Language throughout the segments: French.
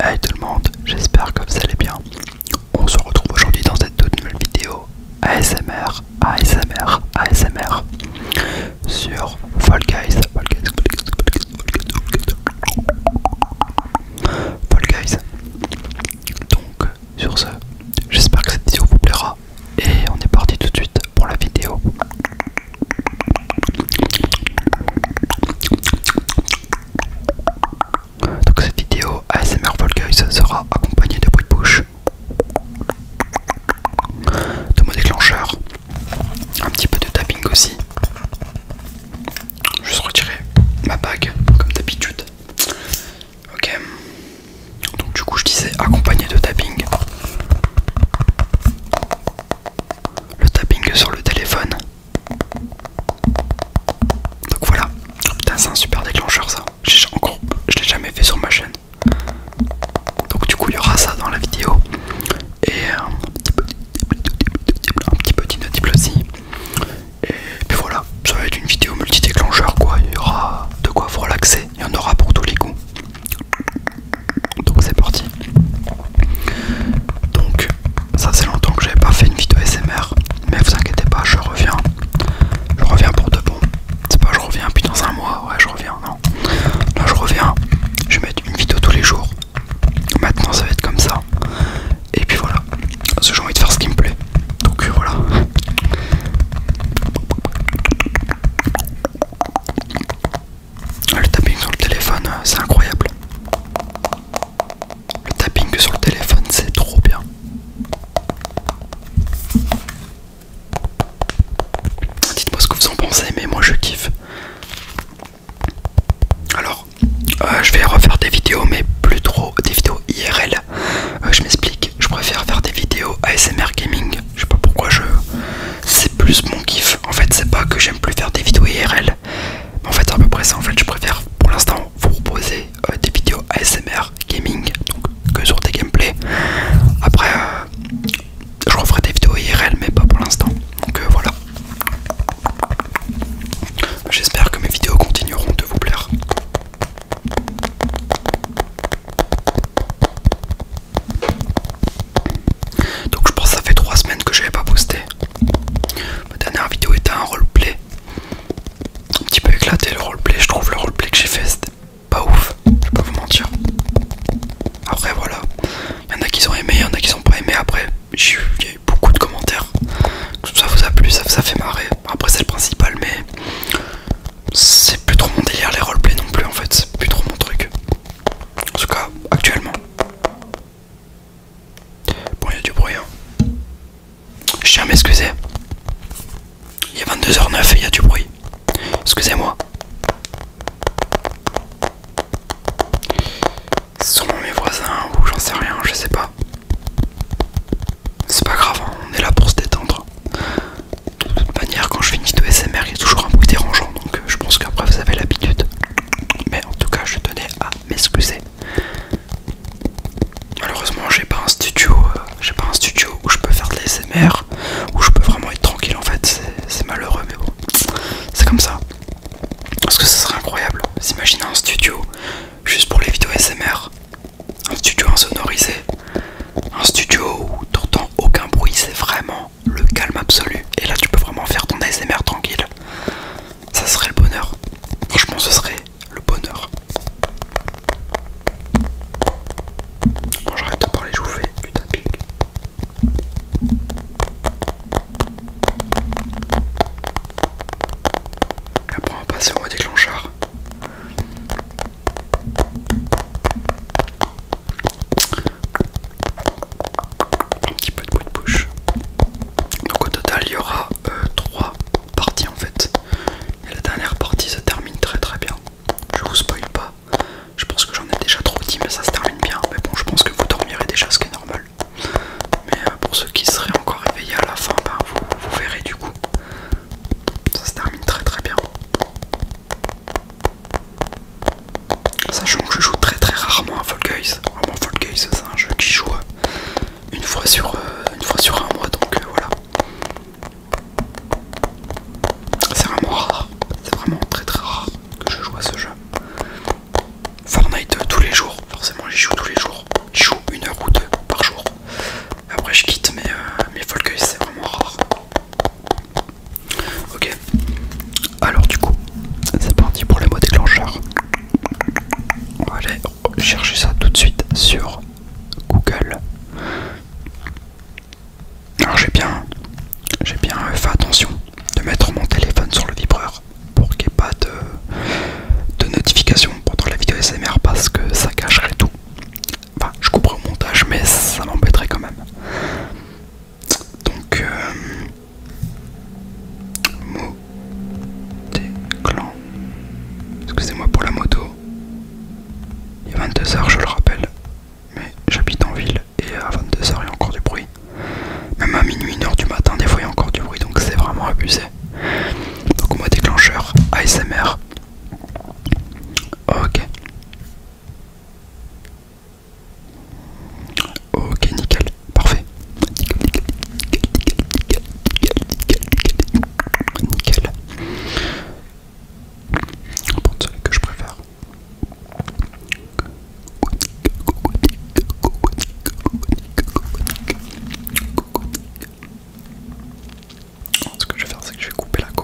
Hey tout le monde, j'espère que vous allez bien. On se retrouve aujourd'hui dans cette toute nouvelle vidéo ASMR, ASMR, ASMR sur Fall Donc sur ce, j'espère que cette vidéo vous plaira et on est parti tout de suite pour la vidéo. Donc cette vidéo ASMR ça sera accompagnée de bruit de bouche, de mon déclencheur, un petit peu de tapping aussi. Je retirer ma bague comme d'habitude. Ok. Donc du coup je disais accompagné de tapping le tapping sur le téléphone. Donc voilà, putain c'est un super déclencheur ça. Encore, je l'ai jamais fait sur ma chaîne. Donc du coup il y aura ça dans la vidéo. Et euh, un petit peu d'inotible aussi. Et puis voilà, ça va être une vidéo multi-déclencheur quoi. Il y aura de quoi vous l'accès. Il y en aura pour tous les goûts. Donc c'est parti. Donc ça c'est longtemps que j'avais pas fait une vidéo SMR, mais vous inquiétez pas, je reviens. Je reviens pour de bon. C'est pas je reviens puis dans un mois, ouais je reviens, non. Là je reviens, je vais mettre une vidéo tous les jours. Maintenant ça va être comme ça. Et puis voilà, parce que j'ai envie de faire ce qui me plaît. Donc euh, voilà. Le tapping sur le téléphone, euh, c'est incroyable. Le tapping sur le téléphone, c'est trop bien. Dites-moi ce que vous en pensez, mais moi je kiffe. Alors, euh, je vais refaire des vidéos, mais plus trop des vidéos IRL. Euh, je m'explique, je préfère faire des vidéos ASMR Gaming. Je sais pas pourquoi je, c'est plus mon kiff. En fait, c'est pas que j'aime plus faire des vidéos IRL, mais en fait, c'est à peu près ça. En fait, je préfère pour l'instant vous proposer euh, des vidéos ASMR gaming, donc que sur des gameplays. Après, euh, je referai des vidéos IRL, mais pas pour l'instant. Donc euh, voilà. J'espère que mes vidéos continueront de vous plaire. Donc je pense ça fait 3 semaines que je n'avais pas posté. Ma dernière vidéo était un roleplay. Un petit peu éclaté le roleplay, je trouve le roleplay que j'ai fait pas ouf, je peux pas vous mentir. Après voilà, il y en a qui ont aimé, il y en a qui n'ont pas aimé après. J'ai eu, y a beaucoup de commentaires. Tout Ça vous a plu, ça, ça fait marrer. Après c'est le principal mais c'est plus trop mon délire les roleplays non plus en fait, c'est plus trop mon truc. En tout cas actuellement. Bon, il y a du bruit. Hein. Je tiens à m'excuser. Il est 22h09 et il y a du bruit. Excusez-moi. sont mes voisins ou j'en sais rien, je sais pas. C'est pas grave, hein, on est là pour se détendre. De toute manière, quand je finis de SMR, il y a toujours un bruit dérangeant donc je pense qu'après vous avez l'habitude. Mais en tout cas, je tenais à m'excuser. Malheureusement, j'ai pas un studio, euh, j'ai pas un studio où je peux faire de l'ASMR, où je peux vraiment être tranquille. En fait, c'est malheureux, mais bon, c'est comme ça. Parce que ce serait incroyable. Imaginez un studio juste pour les vidéos SMR. un studio insonorisé, un studio où t'entends aucun bruit. C'est vraiment le calme absolu. Et là, tu peux vraiment faire ton ASMR tranquille. Ça serait le bonheur. Franchement, ce serait le bonheur. Bon, j'arrête de parler, je vous fais du Après, on va passer au mode déclenchard un petit peu de coup de bouche. Donc au total il y aura 3 euh, parties en fait. Et la dernière partie se termine très très bien. Je vous spoil pas. Je pense que j'en ai déjà trop dit mais ça se termine bien. Mais bon je pense que vous dormirez déjà ce qui est normal. Mais euh, pour ceux qui seraient encore éveillés à la fin, ben, vous, vous verrez du coup. Ça se termine très très bien. Sachant que je joue très très rarement à Fall Guys. Vraiment, Fall Guys, c'est un jeu qui joue euh, une fois sur, euh, une fois sur un mois, donc euh, voilà. C'est vraiment rare, c'est vraiment très très rare que je joue à ce jeu. Fortnite tous les jours, forcément j'y joue tous les jours. J'y joue une heure ou deux par jour. Après je quitte, mais, mais Fall Guys c'est vraiment rare. Ok, alors du coup, c'est parti pour les mots déclencheurs. On va aller chercher ça tout de suite sur Google. Alors j'ai bien, j'ai bien fait attention de mettre mon téléphone sur le vibreur pour qu'il n'y ait pas de, notification pendant la vidéo SMR parce que ça cacherait tout. Enfin, je couperai au montage, mais ça m'embêterait quand même. Donc, euh, mot des Excusez-moi pour la moto. Il est 22h, je le rappelle. Mais j'habite en ville et à 22h, il y a encore du bruit. Même à minuit, 1h du matin, des fois, il y a encore du bruit. Donc, c'est vraiment abusé. Donc, mot déclencheur ASMR. Ok. Ok, nickel, parfait. Nickel, nickel, nickel, nickel, nickel, nickel, nickel. celui que je préfère. Ce que je vais faire, c'est que je vais couper la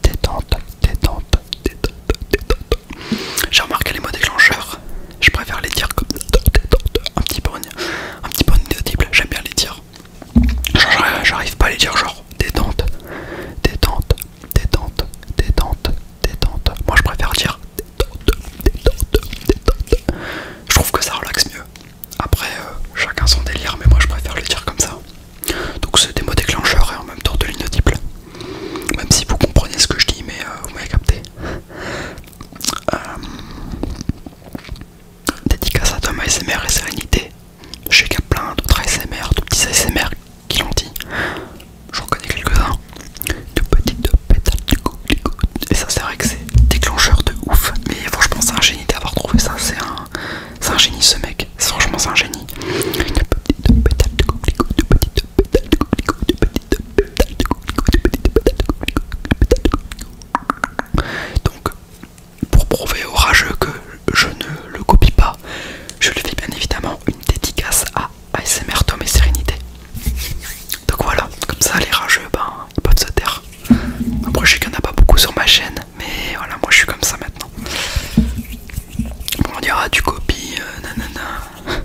Détente, détente, J'ai remarqué les mots déclencheurs. Je préfère les dire comme un petit bonnet, un petit peu audible. J'aime bien les dire. J'arrive pas à les dire genre détente, détente, détente, détente, détente. Moi je préfère dire détente, détente, détente. Je trouve que ça relaxe mieux. Après, euh, chacun son délire, mais moi je préfère les dire comme ça. Donc c'est des mots déclencheurs et en même temps de type Même si vous comprenez ce que je dis, mais euh, vous m'avez capté. Euh, Dédicace à Thomas SMR et Sérénité. Je sais qu'il y a plein d'autres ASMR, de petits ASMR qui l'ont dit. J'en connais quelques-uns. De petites pétales, du Et ça, c'est vrai que c'est déclencheur de ouf. Mais franchement, c'est un génie d'avoir trouvé ça. C'est un, un génie ce mec. Franchement, c'est un génie. Donc, pour prouver au rageux que je ne le copie pas, je lui fais bien évidemment une dédicace à ASMR Tom et Sérénité. Donc voilà, comme ça les rageux, ben, ils peuvent se taire. Après je sais qu'il n'y en a pas beaucoup sur ma chaîne, mais voilà, moi je suis comme ça maintenant. Bon, on dira tu copies, euh, nanana.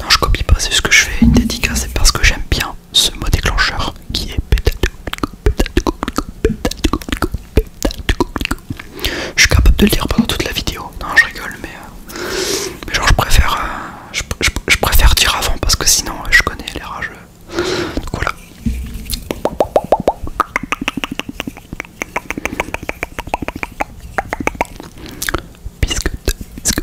non, je copie pas, c'est ce que je fais, une dédicace, c'est parce que j'aime bien ce mot déclencheur qui est pétato. Je suis capable de le dire pendant toute la vidéo. Non, je rigole, mais, euh, mais genre je préfère, euh, je, préfère dire avant parce que sinon euh, je connais les rageux. Donc voilà. Biscuit, biscuit,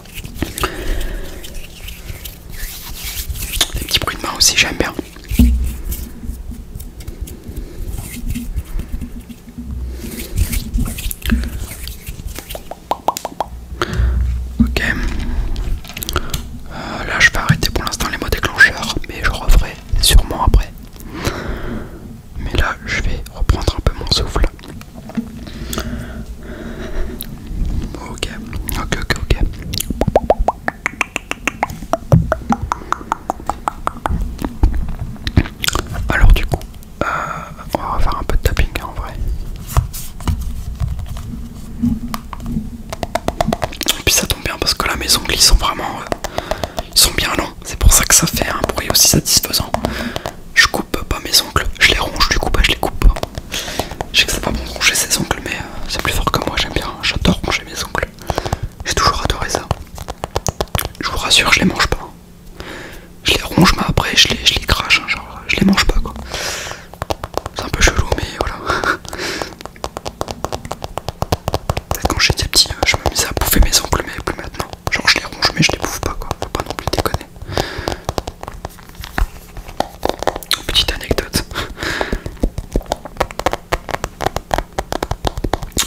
Des petits bruits de main aussi, j'aime bien. Ok. Euh, là, je vais arrêter pour l'instant les mots déclencheurs, mais je referai sûrement après. Mais là, je vais reprendre un peu mon souffle. Ok, ok, ok, ok. Alors du coup, euh, on va faire un peu de tapping hein, en vrai. Et puis ça tombe bien parce que la maison glisse sont vraiment, euh, ils sont bien longs. C'est pour ça que ça fait un bruit aussi satisfaisant. Je coupe pas mes ongles, je les ronge du coup, pas bah, je les coupe pas. Je sais que c'est pas bon ronger ses ongles, mais euh, c'est plus fort que moi, j'aime bien, j'adore ronger mes ongles. J'ai toujours adoré ça. Je vous rassure, je les mange pas. Je les ronge, mais après je les, les crache, hein, genre je les mange pas quoi. C'est un peu chelou, mais voilà. quand j'étais petit, euh, je me misais à bouffer mes ongles, mais plus maintenant. Genre je les ronge, mais je les bouffe pas quoi. Faut pas non plus déconner. Petite anecdote.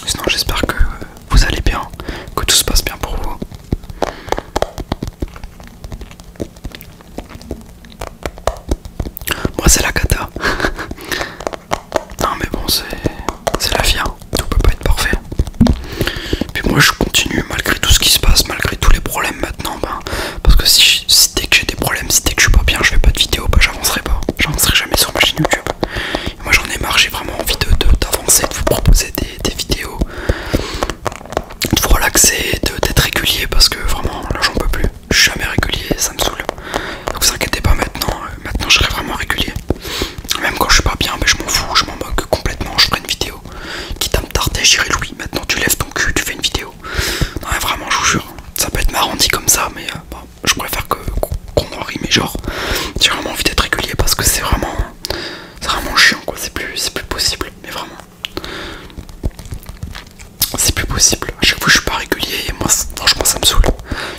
Sinon, j'espère que vous allez bien, que tout se passe bien pour vous. Moi, c'est la cata. non, mais bon, c'est la fière hein tout peut pas être parfait. Puis moi je continue malgré tout ce qui se passe, malgré tous les problèmes maintenant, ben, parce que si, si dès que j'ai des problèmes, si dès que je suis pas bien, je fais pas de vidéo, Bah j'avancerai pas, j'avancerai jamais sur ma chaîne YouTube. moi j'en ai marre, j'ai vraiment envie d'avancer, de, de vous proposer des, vidéos, de vous relaxer, d'être régulier, parce que vraiment là j'en peux plus, je suis jamais régulier, ça me saoule. Donc vous inquiétez pas maintenant, euh, maintenant je serai vraiment régulier. Même quand je suis pas bien, ben, je m'en fous, je m'en moque complètement je ferai une vidéo. Quitte à me tarder, j'irai lui, Maintenant tu lèves ton cul, tu fais une vidéo. Non mais vraiment je vous jure, ça peut être marrant dit comme ça, mais euh, je préfère que qu'on en mais genre j'ai vraiment envie d'être régulier parce que c'est vraiment c'est vraiment chiant quoi, c'est plus c'est plus possible, mais vraiment. C'est plus possible. À chaque fois je suis pas régulier et moi franchement ça me saoule.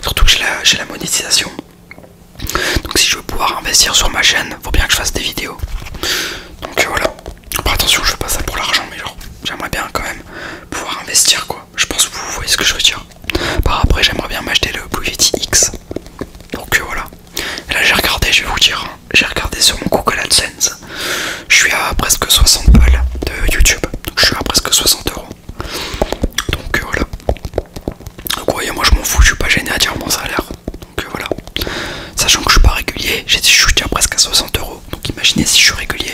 Surtout que j'ai la, la monétisation. Donc si je veux pouvoir investir sur ma chaîne, faut bien que je fasse des vidéos. Donc euh, voilà. attention, je fais pas ça pour l'argent, mais j'aimerais bien quand même pouvoir investir quoi. Je pense que vous voyez ce que je veux dire. Par après j'aimerais bien m'acheter le Blue X. Donc euh, voilà. là j'ai regardé, je vais vous dire, hein. j'ai regardé sur mon Google AdSense. Je suis à presque 60 balles de YouTube. Donc je suis à presque 60 euros. Donc euh, voilà. Donc moi je m'en fous, je suis pas gêné à dire mon salaire. Donc euh, voilà. Sachant que je suis pas régulier, je suis déjà presque à 60 euros. Donc imaginez si je suis régulier.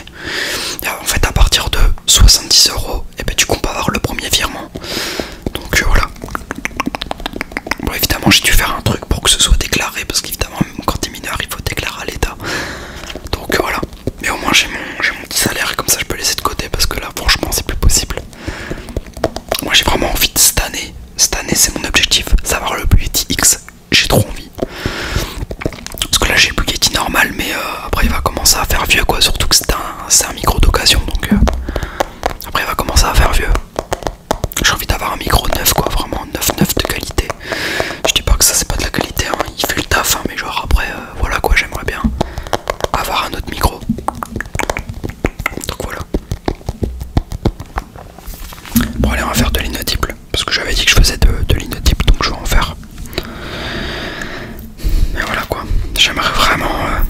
Euh, en fait à partir de 70 euros, et eh ben tu comptes avoir le premier virement. Donc euh, voilà. Bon évidemment j'ai dû faire un truc pour que ce soit déclaré parce qu'évidemment quand t'es mineur il faut déclarer à l'état. Donc voilà. Mais au moins j'ai mon, mon petit salaire comme ça je peux laisser de côté parce que là franchement c'est plus possible. Moi j'ai vraiment envie de cette année. Cette année c'est mon objectif, savoir le Bugatti X. J'ai trop envie. Parce que là j'ai le Bugatti normal mais euh, après il va commencer à faire vieux quoi. Surtout que c'est un, micro d'occasion donc euh, après il va commencer à faire vieux. J'ai envie d'avoir un micro neuf quoi, vraiment neuf neuf de qualité. Je dis pas que ça c'est pas de la qualité, hein. il fait le taf hein, mais genre après euh, voilà quoi j'aimerais bien avoir un autre micro donc voilà. Bon allez on va faire de l'inotype parce que j'avais dit que je faisais de, de donc je vais en faire. Mais voilà quoi, j'aimerais vraiment euh,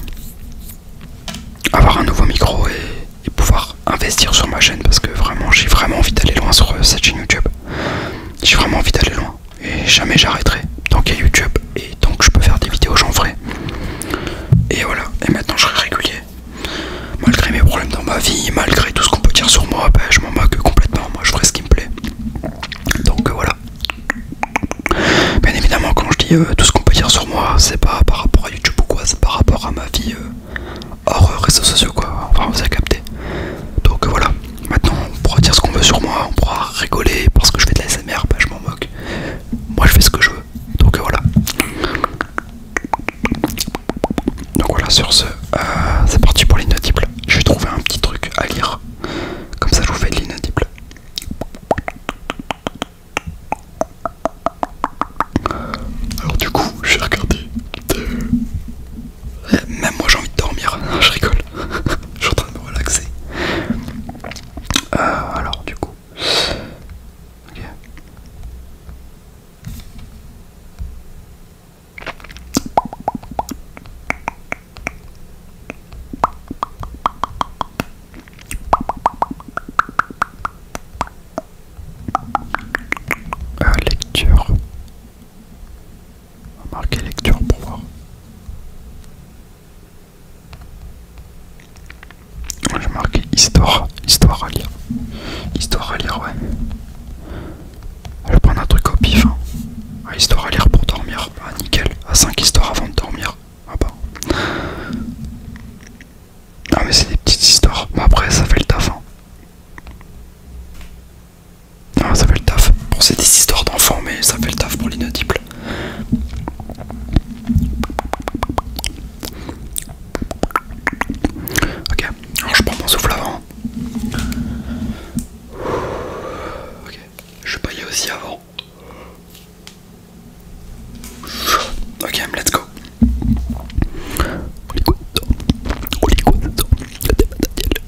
avoir un nouveau micro et, pouvoir investir sur ma chaîne parce que vraiment j'ai vraiment envie d'aller loin sur euh, cette chaîne YouTube. J'ai vraiment envie d'aller loin et jamais j'arrêterai tant qu'il y a YouTube et tant que je peux faire des vidéos j'en ferai et voilà et maintenant je serai régulier malgré mes problèmes dans ma vie malgré tout ce qu'on peut dire sur moi bah, je m'en moque complètement moi je ferai ce qui me plaît donc euh, voilà bien évidemment quand je dis euh, tout ce qu'on peut dire sur moi c'est pas par rapport à YouTube ou quoi c'est par rapport à ma vie euh, hors réseaux sociaux quoi enfin vous avez capté donc voilà maintenant on pourra dire ce qu'on veut sur moi on pourra rigoler parce que je fais de la SMR bah, ben, je moi je fais ce que je veux. Donc euh, voilà. Donc voilà sur ce, euh, c'est parti pour l'inaudible. Je vais trouver un petit truc à lire. Comme ça je vous fais de l'inaudible. Alors du coup, je vais regarder euh, même moi j'ai envie de dormir, je rigole. je suis en train de me relaxer. Euh, alors, du coup. ok euh, lecture. On va lecture pour voir. Je marque histoire, histoire à lire. Histoire à lire, ouais. Je vais prendre un truc au pif. Hein. Ah, histoire à lire pour dormir. Ah, nickel. À 5 histoires avant de dormir. Ah bah. Non, mais c'est des petites histoires. Bon après, ça fait le taf. Hein. Ah, ça fait le taf. Bon, c'est des histoires d'enfants, mais ça fait le taf pour l'inaudible. Ok, alors je prends mon souffle avant. Ok, je vais y pas aller aussi avant. Ok, let's go.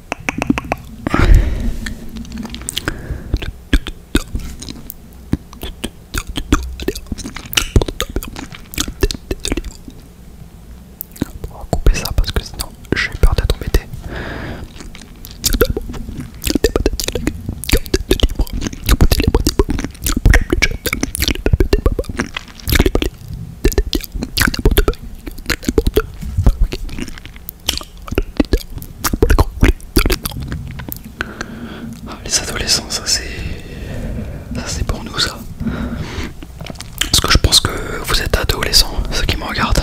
On va couper ça parce que sinon j'ai peur d'être embêté. Ah, les adolescents, ça c'est pour nous ça. Parce que je pense que vous êtes adolescents, ceux qui me regardent.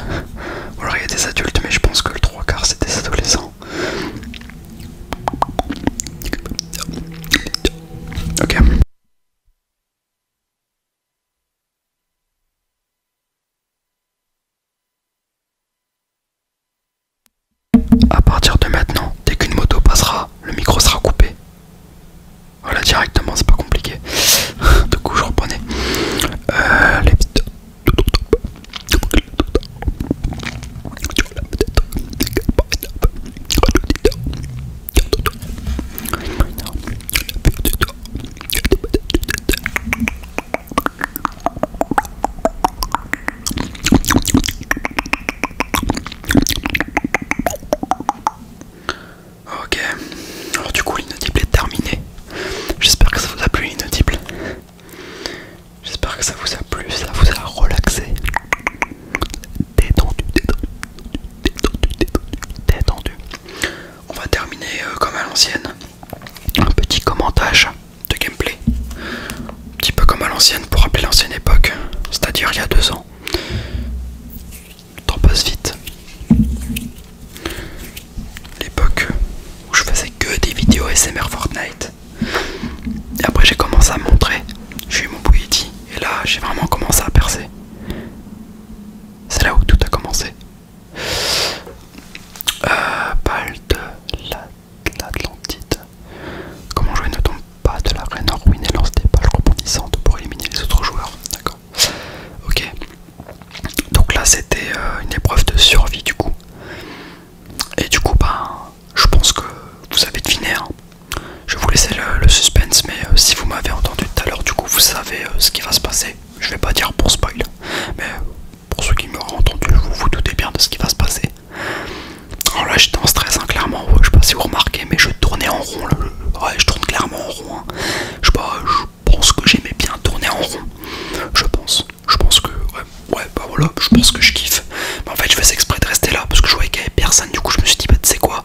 il y a des adultes, mais je pense que le trois quarts c'est des adolescents. À partir de maintenant, dès qu'une moto passera, le micro sera coupé. Voilà, directement, c'est pas compliqué. du coup, je reprenais. Euh, Ok, alors du coup l'inaudible est terminé. J'espère que ça vous a plu l'inaudible. J'espère que ça vous a plu, ça vous a relaxé. Détendu, détendu, détendu, détendu, détendu on va terminer euh, comme à l'ancienne. Un petit commentage de gameplay. Un petit peu comme à l'ancienne pour rappeler l'ancienne époque, c'est-à-dire il y a deux ans. Le temps passe vite. L'époque où je faisais que des vidéos SMR Fortnite. Et après j'ai commencé à montrer, j'ai eu mon bouilleti et là j'ai vraiment commencé à percer. C'est là où tout a commencé. Euh, de l'Atlantide. Comment jouer ne tombe pas de la reine en et lance des pages rebondissantes pour éliminer les autres joueurs. D'accord. Ok. Donc là c'était euh, une épreuve de survie du coup. Et du coup bah je pense que vous avez deviné. Hein. Je vous laisser le, suspense mais euh, si vous m'avez entendu tout à l'heure du coup vous savez euh, ce qui va se passer. Je vais pas dire pour spoil, mais euh, pour ceux qui m'auraient entendu, vous vous doutez bien de ce qui va se passer. Alors là, j'étais en stress, hein, clairement. je sais pas si vous remarquez, mais je tournais en rond. ouais, je tourne clairement en rond. Hein. Je pense que j'aimais bien tourner en rond. Je pense, je pense que, ouais, ouais, bah voilà, je pense que je kiffe. en fait, je faisais exprès de rester là parce que je voyais qu'il y avait personne. Du coup, je me suis dit, bah, tu sais quoi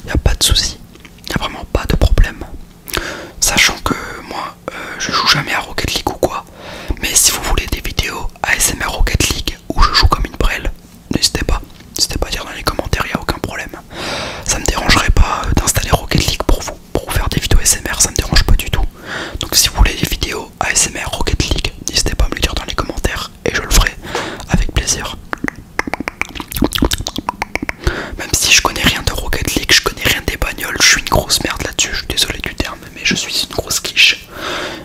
Il n'y a pas de souci. Il n'y a vraiment pas de problème. Sachant que moi, euh, je joue jamais à Rocket League ou quoi. Mais si vous voulez des vidéos ASMR Rocket League où je joue comme une brelle, n'hésitez pas. N'hésitez pas à dire dans les commentaires, il n'y a aucun problème. Ça me dérangerait pas euh, d'installer Rocket League pour vous, pour vous faire des vidéos ASMR, ça me dérange pas du tout. Donc si vous voulez des vidéos ASMR Rocket League, n'hésitez pas à me le dire dans les commentaires et je le ferai avec plaisir. Même si je connais rien de Rocket League, je connais rien des bagnoles, je suis une grosse merde là-dessus, je suis désolé du terme, mais je suis une grosse quiche.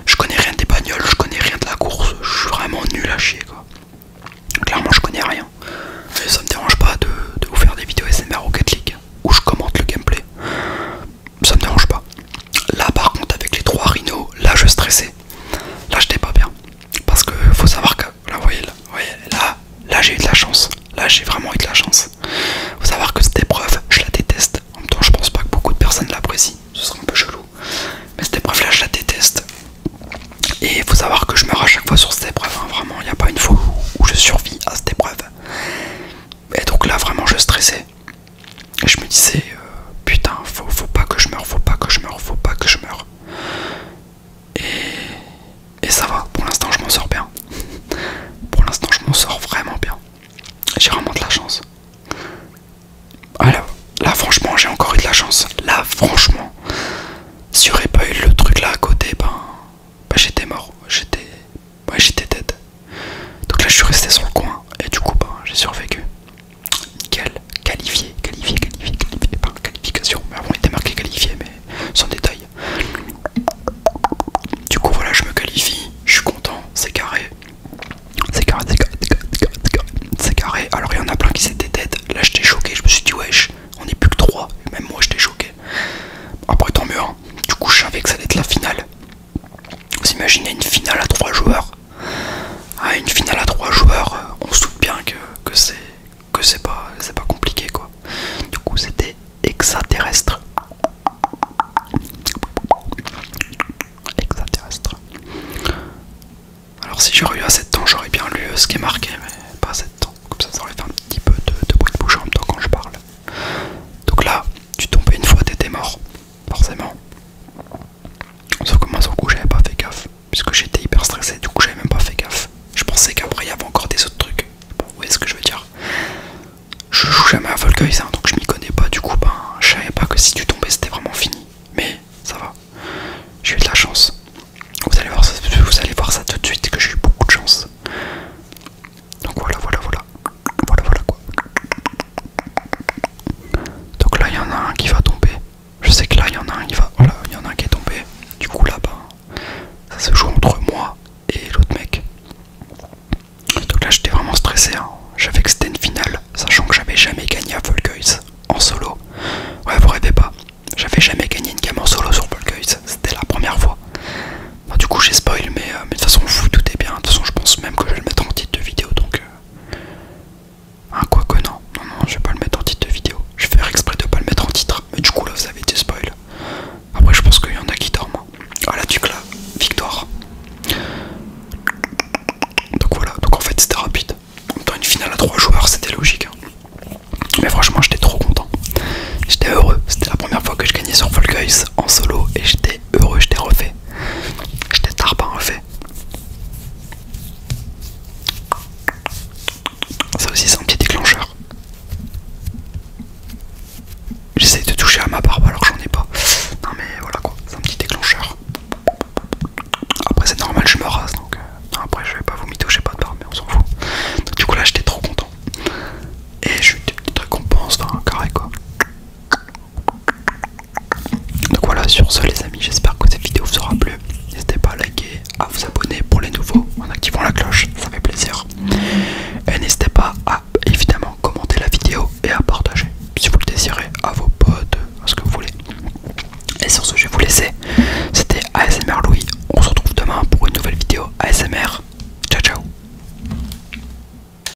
Je connais rien des bagnoles, je connais rien de la course, je suis vraiment nul à chier quoi. Clairement, je connais rien. Mais ça me dérange pas de, vous faire des vidéos SMR Rocket League où je commente le gameplay. Ça me dérange pas. Là, par contre, avec les trois rhinos, là je stressais. Là, j'étais pas bien. Parce que faut savoir que là, vous voyez, là, là, j'ai eu de la chance. Là, j'ai vraiment eu de la chance. Faut savoir que cette épreuve, je la déteste. En même temps, je pense pas que beaucoup de personnes l'apprécient. Ce serait un peu chelou. Mais cette épreuve là, je la déteste. Et faut savoir que je meurs à chaque fois sur cette épreuve. Hein. Vraiment, il n'y a pas une fois où je survis à cette épreuve. Et donc là, vraiment, je stressais je me disais euh, putain faut, pas que je meure, faut pas que je meure, faut pas que je meure. Et, ça va, pour l'instant je m'en sors bien. pour l'instant je m'en sors vraiment bien. J'ai vraiment de la chance. Alors, là franchement j'ai encore eu de la chance. Là franchement, si j'aurais pas eu le truc là à côté, ben, ben j'étais mort. J'étais dead. Donc là je suis resté sur le coin et du coup ben, j'ai survécu. Nickel, qualifié, qualifié, qualifié, qualifié, par qualification. Mais avant il était marqué qualifié, mais sans détail. Du coup voilà, je me qualifie, je suis content, c'est carré. C'est carré, c'est carré, c'est carré, c'est carré, Alors il y en a plein qui s'étaient têtes. Là j'étais choqué, je me suis dit wesh, on est plus que 3. Même moi j'étais choqué. Après tant mieux, hein. du coup je savais que ça allait être la finale. Vous imaginez une finale à 3 joueurs ah, Une finale à 3 joueurs, euh, on se doute bien que, que c'est que c'est pas, pas compliqué quoi. Du coup c'était extraterrestre. Extraterrestre. Alors si j'aurais eu assez de temps, j'aurais bien lu euh, ce qui est marqué, mais pas assez de temps. Comme ça, ça aurait fait un petit peu de, de bruit de bouche en même temps quand je parle. Donc là, tu tombais une fois, t'étais mort, forcément. Sauf que moi, sur le coup, j'avais pas fait gaffe. Puisque j'étais hyper stressé, du coup, j'avais même pas fait gaffe. Je pensais qu'après, il y avait encore des autres trucs. vous voyez ce que je veux dire Je joue jamais à ça, hein, donc je m'y connais pas. Du coup, ben, je savais pas que si tu tombais, c'était vraiment fini. Mais ça va. J'ai eu de la chance. Vous allez voir vous allez voir ça tout de suite que j'ai eu beaucoup de chance. Donc voilà, voilà, voilà. Voilà, voilà quoi. Donc là, il y en a un qui va tomber. Je sais que là, il y en a un qui va. Voilà, il y en a un qui est tombé. Du coup, là-bas, ça se joue entre moi et l'autre mec. Donc là, j'étais vraiment stressé. Hein. J'avais que c'était une finale, sachant que j'avais jamais gagné à Volguys en solo. Ouais, vous rêvez pas. J'avais jamais gagné une game en solo sur Volguys. C'était la première fois. du coup, j'ai spoil, mais euh, mais de toute façon, vous, tout est bien. De toute façon, je pense même que je vais le mettre en titre de vidéo. Donc, euh, ah, quoi que non, non, non, je vais pas le mettre en titre de vidéo. Je vais faire exprès de pas le mettre en titre, mais du coup là vous avez des spoil. Après, je pense qu'il y en a qui dorment. Hein. Ah, la tuque là, victoire. Donc voilà, donc en fait c'était rapide. En même une finale à 3 joueurs, c'était logique. Hein. Mais franchement, j'étais trop content. J'étais heureux. C'était la première fois que je gagnais sur Fall Guys en solo et j'étais heureux, je t'ai refait. Je t'ai en refait. Ça aussi, c'est un petit déclencheur. J'essaie de toucher à ma barbe alors que j'en ai pas. Non, mais voilà quoi, c'est un petit déclencheur. Après, c'est normal, je me rase donc. Euh, après, je vais pas vous toucher pas de barbe, mais on s'en fout. du coup, là, j'étais trop content. Et j'ai eu des petites récompenses dans un carré quoi. Donc voilà, sur ce les amis, j'espère que cette vidéo vous aura plu. N'hésitez pas à liker, à vous abonner pour les nouveaux en activant la cloche, ça fait plaisir. Et n'hésitez pas à évidemment commenter la vidéo et à partager si vous le désirez à vos potes, à ce que vous voulez. Et sur ce, je vais vous laisser. C'était ASMR Louis. On se retrouve demain pour une nouvelle vidéo ASMR. Ciao ciao